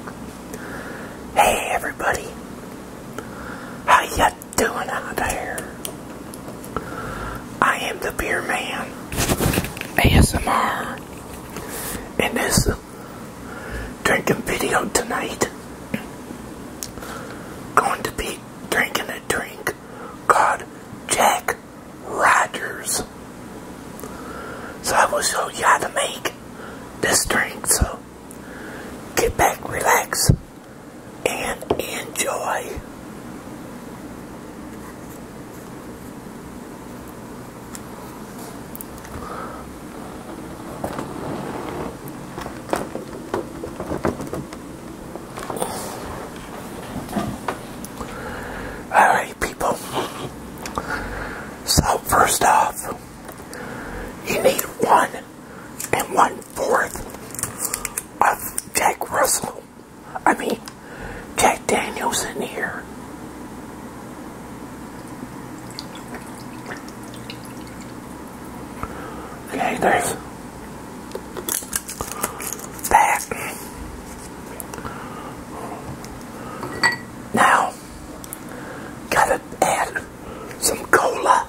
Hey everybody, how ya doing out there? I am the Beer Man ASMR, and this drinking video tonight going to be drinking a drink called Jack Rogers. So I will show you how to make this drink. So get back, relax, and enjoy. Alright people, so first off, half. You need one and one fourth of Jack Russell. I mean, Jack Daniels in here. Okay, there's that. Now, Gotta add some cola.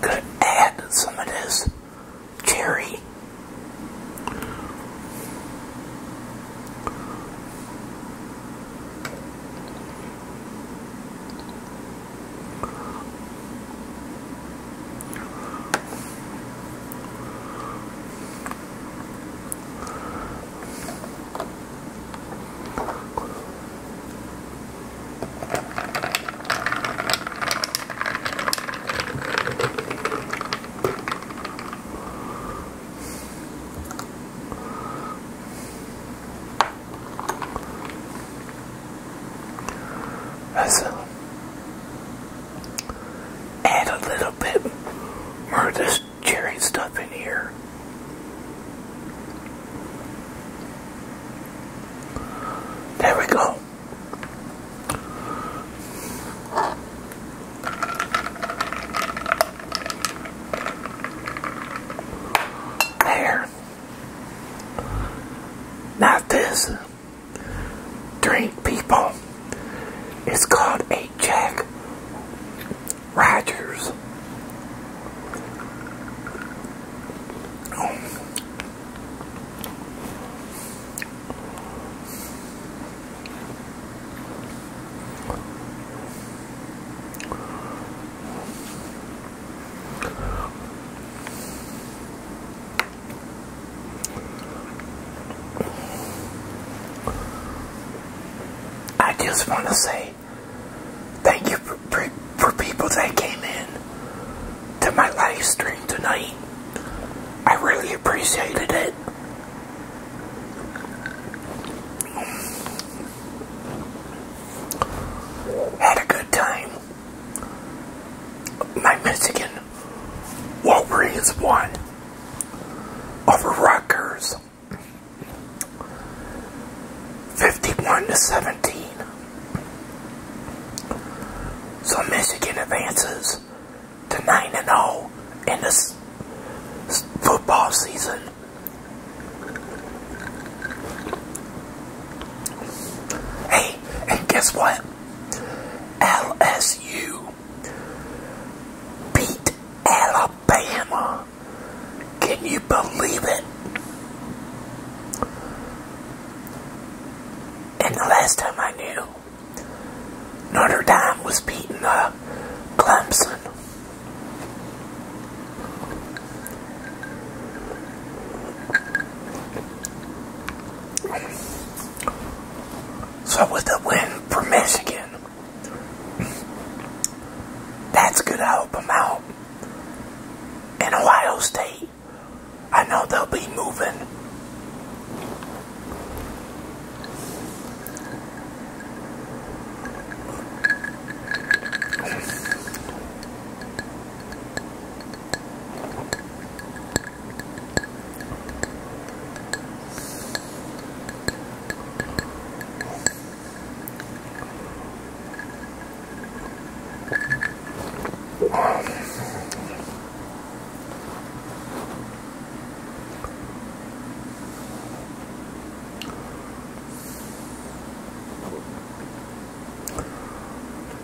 could add some of this cherry Let's uh, add a little bit of this cherry stuff in here. There we go. There. Not this drink, people. It's called a Jack Rogers. I just want to say Thank you for, for, people that came in to my live stream tonight. I really appreciated it. Had a good time. My Michigan Wolverines won over Rutgers. 51 to 17. So Michigan advances to 9 and 0 in this football season. Hey, and guess what? LSU beat Alabama. Can you believe it? And the last time I knew, Notre Dame was beating uh, Clemson. So with the win for Michigan, that's going to help them out. In Ohio State, I know they'll be moving.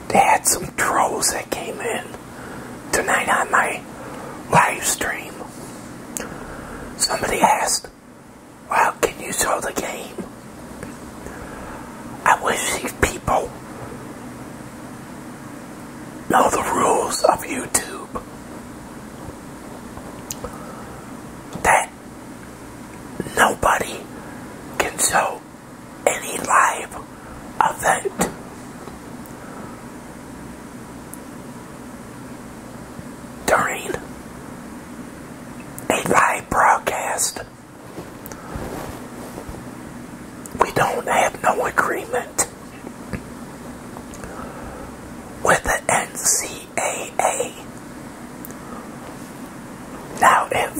They had some trolls that came in tonight on my livestream. Somebody asked how can you show the game? I wish these people know the rules of YouTube. That nobody can show any live event during a live broadcast. We don't have no agreement with the NCAA. Now, if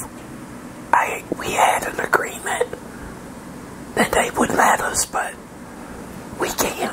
I we had an agreement, then they would let us, but we can't.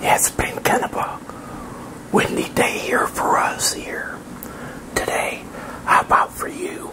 it's been kind windy day here for us here today. How about for you?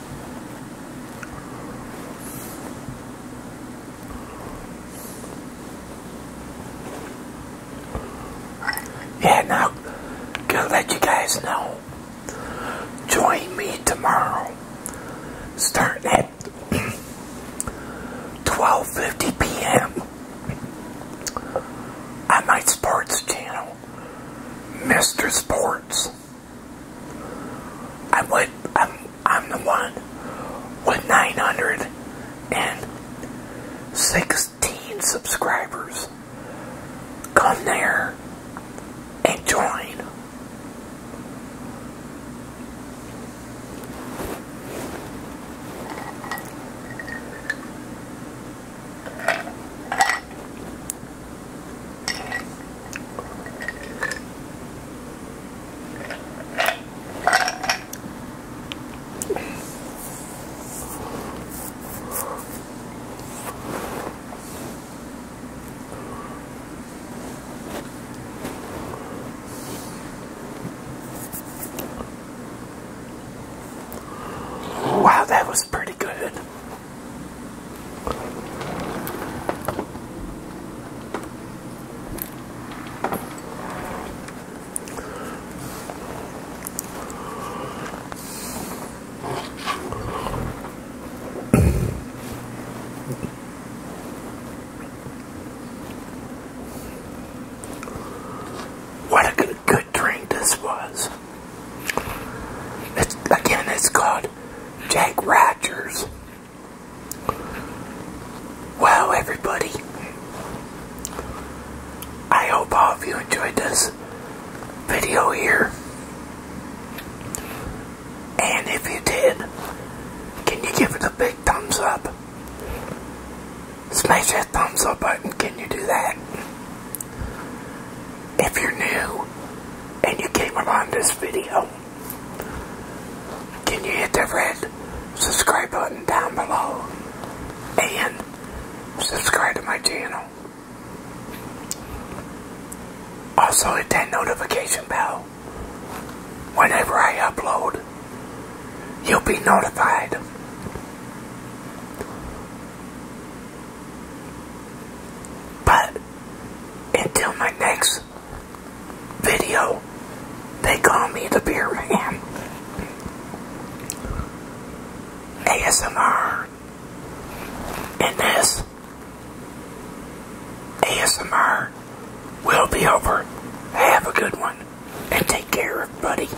Yeah, now, gonna let you guys know. Join me tomorrow, starting at 12.50 p.m. on my sports channel, Mr. Sports. I would I'm I'm the one with nine hundred and sixteen subscribers. Come there and join. Wow, that was pretty good. What a good, drink this was. again, it's called Jack Rogers. Wow, everybody, I hope all of you enjoyed this video here. And if you did, can you give it a big thumbs up? Smash that thumbs up button, can you do that? If you're new and you came along this video, can you hit that red subscribe button down below and subscribe to my channel? Also hit that notification bell. Whenever I upload, you'll be notified. But until my next video, they call me the Beer Man. ASMR. And this ASMR will be over. Have a good one. And take care, buddy.